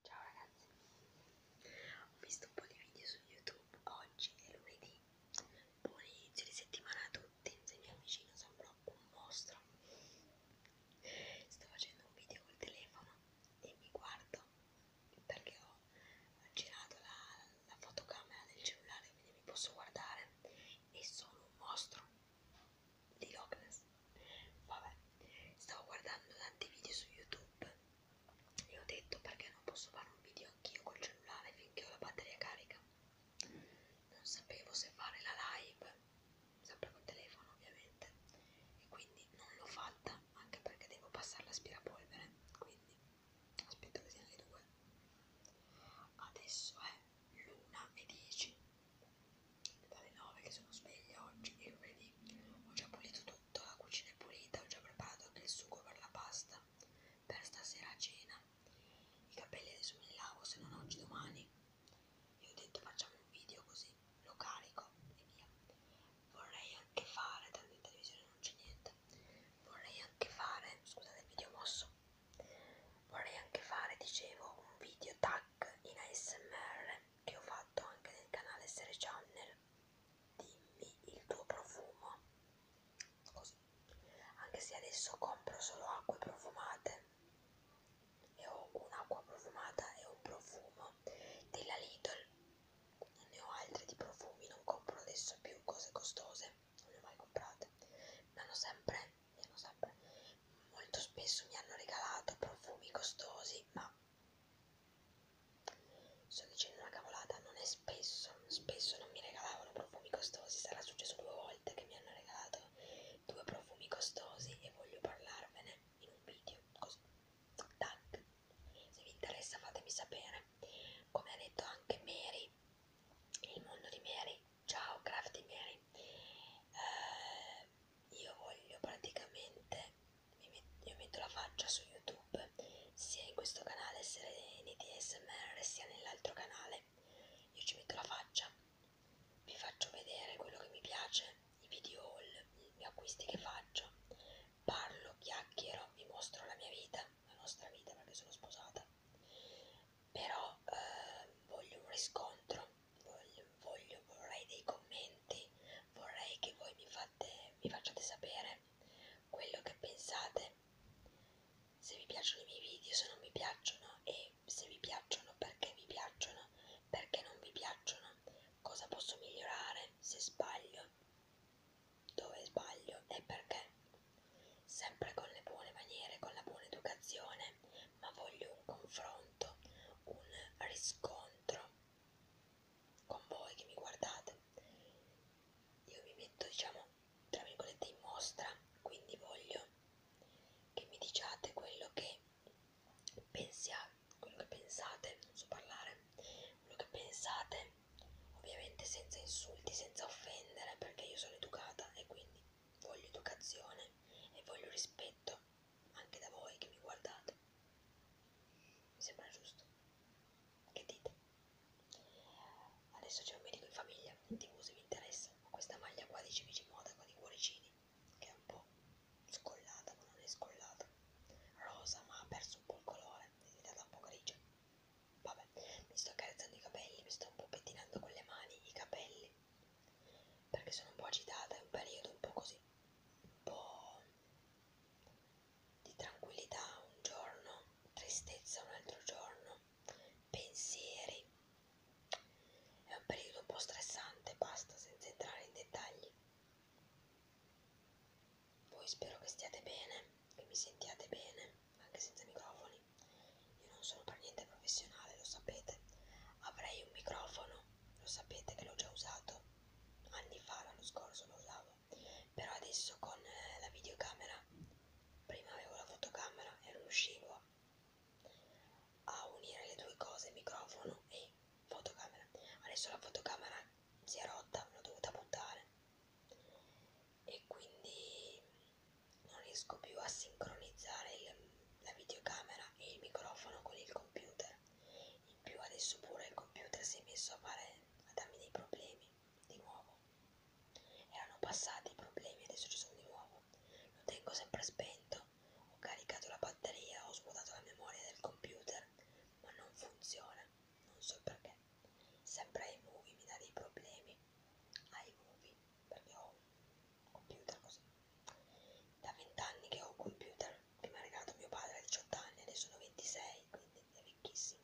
Ciao ragazzi, ho visto un po' di video su YouTube, oggi è lunedì, buon inizio di settimana a tutti, se mi avvicino sembro un mostro. Sto facendo un video col telefono e mi guardo perché ho girato la, la fotocamera del cellulare, quindi mi posso guardare e sono un mostro di Loch Ness. Vabbè, stavo guardando tanti video su YouTube e ho detto perché non posso fare un video anch'io col cellulare finché ho la batteria carica. Non sapevo se fare la live, sempre col telefono ovviamente, e quindi non l'ho fatta anche perché devo passare l'aspirapolvere, quindi aspetto che siano le due. Adesso è l'una e 10 dalle 9 che sono sveglia oggi, io vedi, ho già pulito tutto tutto, la cucina è pulita, ho già preparato anche il sugo per la pasta, per stasera a cena. I capelli adesso me li lavo, se non oggi domani. Io ho detto facciamo un video così, lo carico e via. Vorrei anche fare, tanto in televisione non c'è niente, vorrei anche fare, scusate il video mosso, vorrei anche fare, dicevo, un video tag in ASMR che ho fatto anche nel canale Sere Channel dimmi il tuo profumo così anche se adesso compro solo acque profumate e ho un'acqua profumata e un profumo della Lidl ne ho altri di profumi non compro adesso più cose costose non le ho mai comprate mi hanno sempre, mi hanno sempre molto spesso mi hanno regalato profumi costosi ma Sto dicendo una cavolata, non è spesso, spesso non mi regalavano profumi costosi, sarà successo due volte che mi hanno regalato due profumi costosi e voglio parlarvene in un video, così, tac, se vi interessa fatemi sapere. Come ha detto anche Mary, il mondo di Mary, ciao Crafty Mary, eh, io voglio praticamente io metto la faccia su YouTube, sia in questo canale Sereni di SMR, sia nell'altro canale. Io ci metto la faccia, vi faccio vedere quello che mi piace, i video haul, gli acquisti che faccio, parlo, chiacchiero, vi mostro la mia vita, la nostra vita perché sono sposata. Però eh, voglio un riscontro, voglio, voglio, vorrei dei commenti, vorrei che voi mi fate fate, mi facciate sapere quello che pensate, se vi piacciono i miei video, se non vi piacciono e se vi piacciono perché vi piacciono, perché non vi piacciono, cosa posso migliorare, se sbaglio, dove sbaglio e perché. Sempre con le buone maniere, con la buona educazione, ma voglio un confronto, un riscontro con voi che mi guardate io mi metto diciamo tra virgolette in mostra quindi voglio che mi diciate quello che pensiate quello che pensate non so parlare quello che pensate ovviamente senza insulti senza offendere perché io sono educata e quindi voglio educazione e voglio rispetto anche da voi che mi guardate. Mi sembra giusto. Che dite? Adesso c'è un medico in famiglia, in tv se vi interessa. Ho questa maglia qua di Civici Moda con i cuoricini, che è un po' scollata, ma non è scollata. Rosa, ma ha perso un po' il colore, è diventata un po' grigia. Vabbè, mi sto carezzando i capelli, mi sto un po' pettinando con le mani i capelli perché sono un po' agitata, è un periodo un po' così, un po' di tranquillità un giorno, tristezza un altro giorno, pensieri. È un periodo un po' stressante, basta, senza entrare in dettagli. Voi spero che stiate bene, che mi sentiate bene, anche senza microfoni. Io non sono per niente professionale, lo sapete. Avrei un microfono lo sapete che l'ho già usato anni fa, l'anno scorso lo usavo, però adesso con eh, la videocamera, prima avevo la fotocamera e non riuscivo a unire le due cose, microfono e fotocamera, adesso la fotocamera si è rotta, l'ho dovuta buttare e quindi non riesco più a sincronizzare il, la videocamera e il microfono con il computer in più adesso pure il computer si è messo a, fare, a darmi dei problemi, di nuovo. Erano passati i problemi, adesso ci sono di nuovo. Lo tengo sempre spento, ho caricato la batteria, ho svuotato la memoria del computer, ma non funziona, non so perché. Sempre iMovie mi dà dei problemi, iMovie, perché ho un computer così. Da vent'anni che ho un computer mi ha regalato mio padre a 18 anni, ne sono 26, quindi è vecchissimo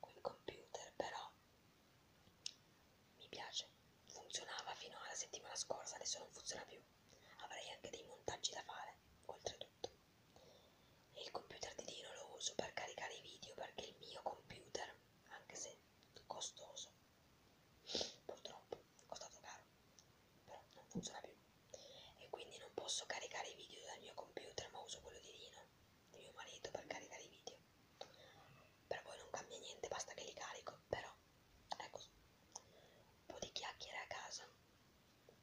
quel computer, però mi piace, funzionava fino alla settimana scorsa, adesso non funziona più, avrei anche dei montaggi da fare, oltretutto. E il computer di Dino lo uso per caricare i video perché il mio computer, anche se costoso, purtroppo, costato caro, però non funziona più e quindi non posso caricare i video dal mio computer ma uso quello di Rino, di mio marito, per caricare i video. Per voi non cambia niente, basta che li carico, però è così. Ecco, un po' di chiacchiere a casa,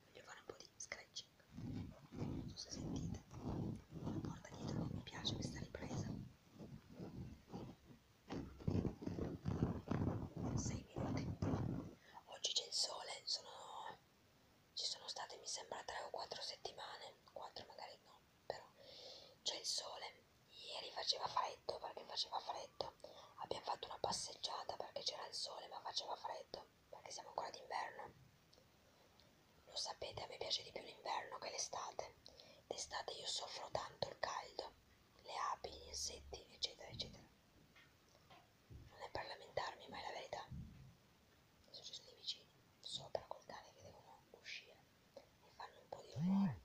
voglio fare un po' di scratching, non so se sentite, la porta dietro mi piace questa ripresa. 6 minuti. Oggi c'è il sole, sono ci sono state mi sembra 3 o 4 settimane 4 magari no però c'è il sole ieri faceva freddo perché faceva freddo abbiamo fatto una passeggiata perché c'era il sole ma faceva freddo perché siamo ancora d'inverno lo sapete a me piace di più l'inverno che l'estate d'estate io soffro tanto il caldo le api gli insetti eccetera eccetera non è per lamentarmi, ma è la verità. Adesso ci sono i vicini sopra col cane che devono uscire e fanno un po' di rumore.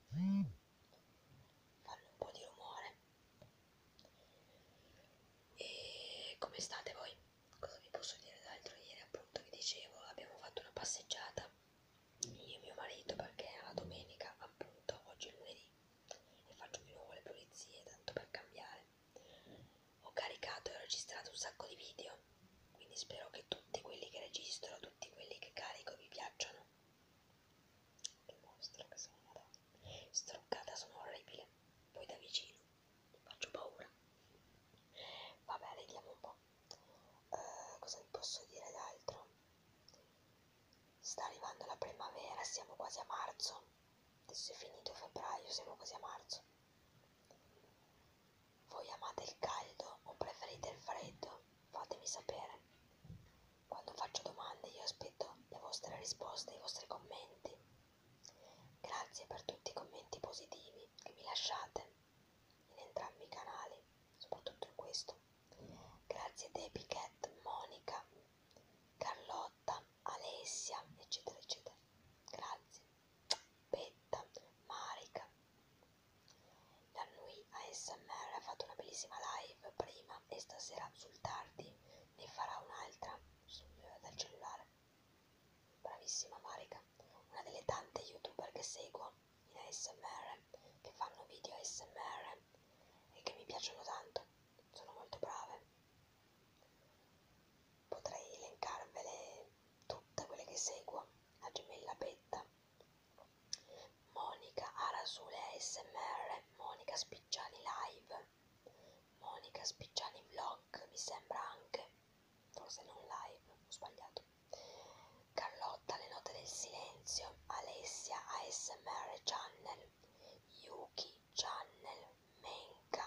Fanno un po' di rumore. E come state voi? Cosa vi posso dire d'altro? Ieri appunto vi dicevo abbiamo fatto una passeggiata io e mio marito perché era domenica appunto oggi è lunedì e faccio di nuovo le pulizie tanto per cambiare ho caricato e registrato un sacco di video, quindi spero che tutti quelli che registro, tutti quelli che carico vi piacciono. Che mostro che sono, madonna. Struccata sono orribile, poi da vicino, mi faccio paura. Vabbè, vediamo un po'. Uh, cosa vi posso dire d'altro? Sta arrivando la primavera, siamo quasi a marzo. Adesso è finito febbraio, siamo quasi a marzo. Voi amate il caldo o preferite il freddo? Fatemi sapere. Quando faccio domande io aspetto le vostre risposte, i vostri commenti. Grazie per tutti i commenti positivi che mi lasciate in entrambi i canali, soprattutto in questo. Grazie Debbie Cat, Monica, Carlotta, Alessia, eccetera, eccetera. Grazie. Betta, Marica. La Nui ASMR ha fatto una bellissima live prima e stasera sul tardi ne farà un'altra dal cellulare. Bravissima Marica, una delle tante youtuber che seguo in ASMR, che fanno video ASMR e che mi piacciono tanto, sono molto brave Potrei elencarvele tutte quelle che seguo, la gemella Betta, Monica Arasule ASMR, Monica Spicciani Live, Monica Spicciani Vlog, mi sembra anche, forse non live, ho sbagliato, Carlotta Le Note del Silenzio, Alessia ASMR Channel, Yuki Channel, Menca,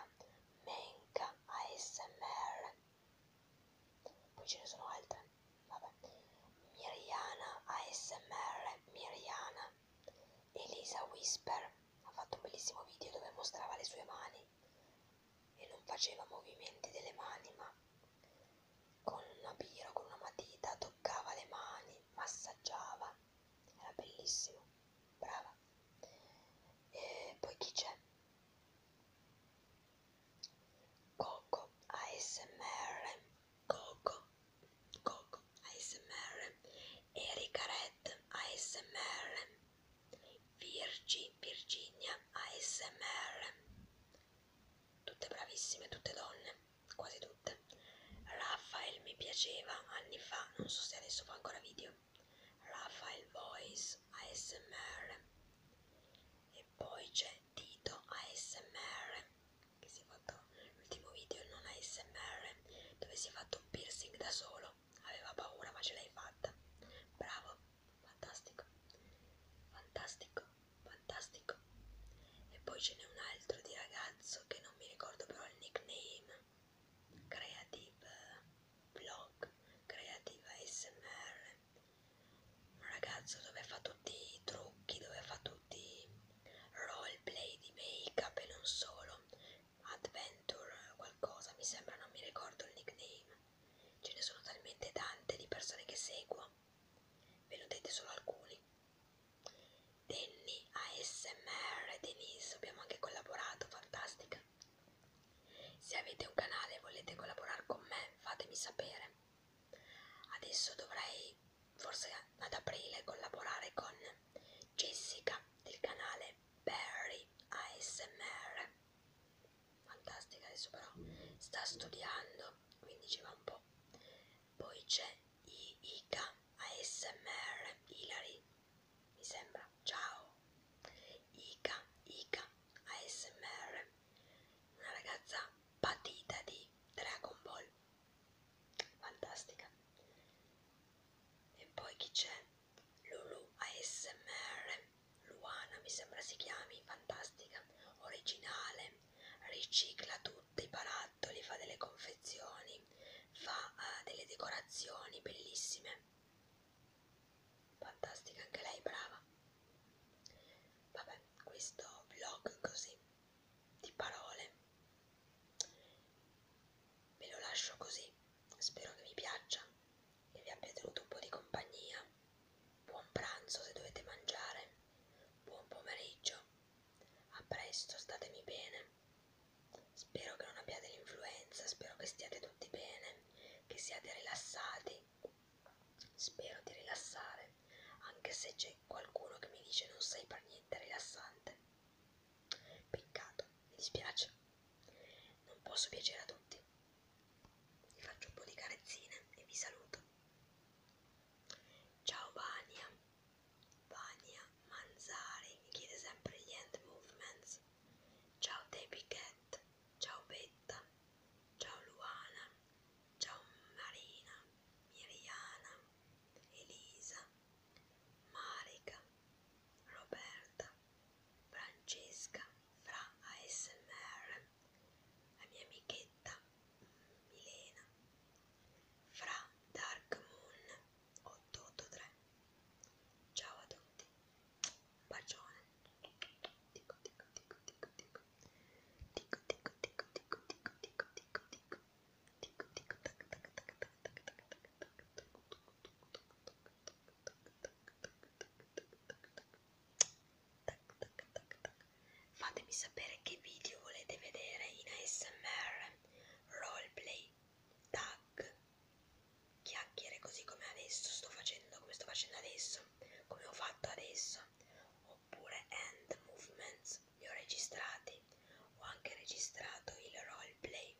Menca ASMR. Poi ce ne sono altre. Vabbè. Miriana ASMR, Miriana. Elisa Whisper ha fatto un bellissimo video dove mostrava le sue mani e non faceva movimenti delle mani, ma con una birra, con una matita toccava le mani, massaggiava era bellissimo, brava. E poi chi c'è? Coco ASMR, Coco, Coco ASMR, Erika Red ASMR, Virgi, Virginia ASMR, tutte bravissime, tutte donne, quasi tutte. Raffaele mi piaceva anni fa, non so se adesso fa ancora video. Raffaele Voice ASMR. E poi c'è Tito ASMR che si è fatto l'ultimo video non ASMR dove si è fatto un piercing da solo. Aveva paura ma ce l'hai fatta. Bravo, fantastico. Fantastico, fantastico. E poi ce n'è un altro di ragazzo che non mi ricordo però il nickname creative blog, creative smr, un ragazzo dove fa tutti i trucchi, dove fa tutti i roleplay di make up e non solo, adventure qualcosa mi sembra, non mi ricordo il nickname, ce ne sono talmente tante di persone che seguo, ve lo dite solo alcuni. Danny ASMR, Denise, abbiamo anche collaborato, fantastica. Se avete un canale e volete collaborare con me, fatemi sapere. Adesso dovrei, forse ad aprile, collaborare con Jessica del canale Barry ASMR. Fantastica, adesso però sta studiando, quindi ci va un po'. Poi c'è Iika ASMR, Hilary mi sembra, ciao, Ica, Ica, ASMR, una ragazza patita di Dragon Ball, fantastica, e poi chi c'è? Lulu ASMR, Luana mi sembra si chiami, fantastica, originale, ricicla tutti i barattoli, fa delle confezioni, fa uh, delle decorazioni bellissime fantastica anche lei brava vabbè questo vlog così di parole ve lo lascio così spero che vi piaccia che vi abbia tenuto un po' di compagnia buon pranzo se dovete mangiare buon pomeriggio a presto statemi bene Spero che non abbiate l'influenza, spero che stiate tutti bene, che siate rilassati. Spero di rilassare, anche se c'è qualcuno che mi dice non sei per niente rilassante. Peccato, mi dispiace. Non posso piacere a tutti. Vi faccio un po' di carezzine e vi saluto. Ciao Vania, Vania Manzari mi chiede sempre gli hand movements. Ciao Debbie Cat, ciao Betta, ciao Luana, ciao Marina, Miriana, Elisa, Marica, Roberta, Francesca, Fra ASMR, la mia amichetta Milena, Fra Dark Moon, 883 ciao a tutti bacione dico dico dico dico dico dico dico dico dico dico dico dico dico dico dico tac tac tac tac tac tac tac tac Fatemi sapere che video volete vedere in ASMR, roleplay, tag chiacchiere così come adesso sto facendo, come sto facendo adesso, come ho fatto adesso, oppure hand movements li ho registrati, ho anche registrato il roleplay,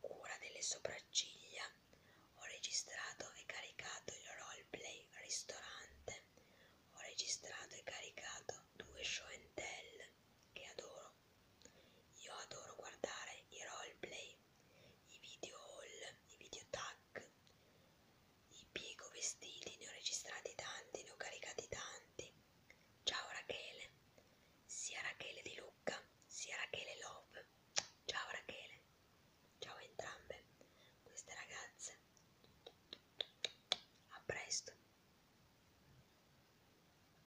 cura delle sopracciglia, ho registrato e caricato il roleplay ristorante, ho registrato e caricato due show and tell che adoro no. Io adoro guardare i roleplay, i video haul, i video tag, i piego vestiti, ne ho registrati tanti, ne ho caricati tanti. Ciao Rachele, sia Rachele di Lucca, sia Rachele Love. Ciao Rachele, ciao a entrambe queste ragazze. A presto.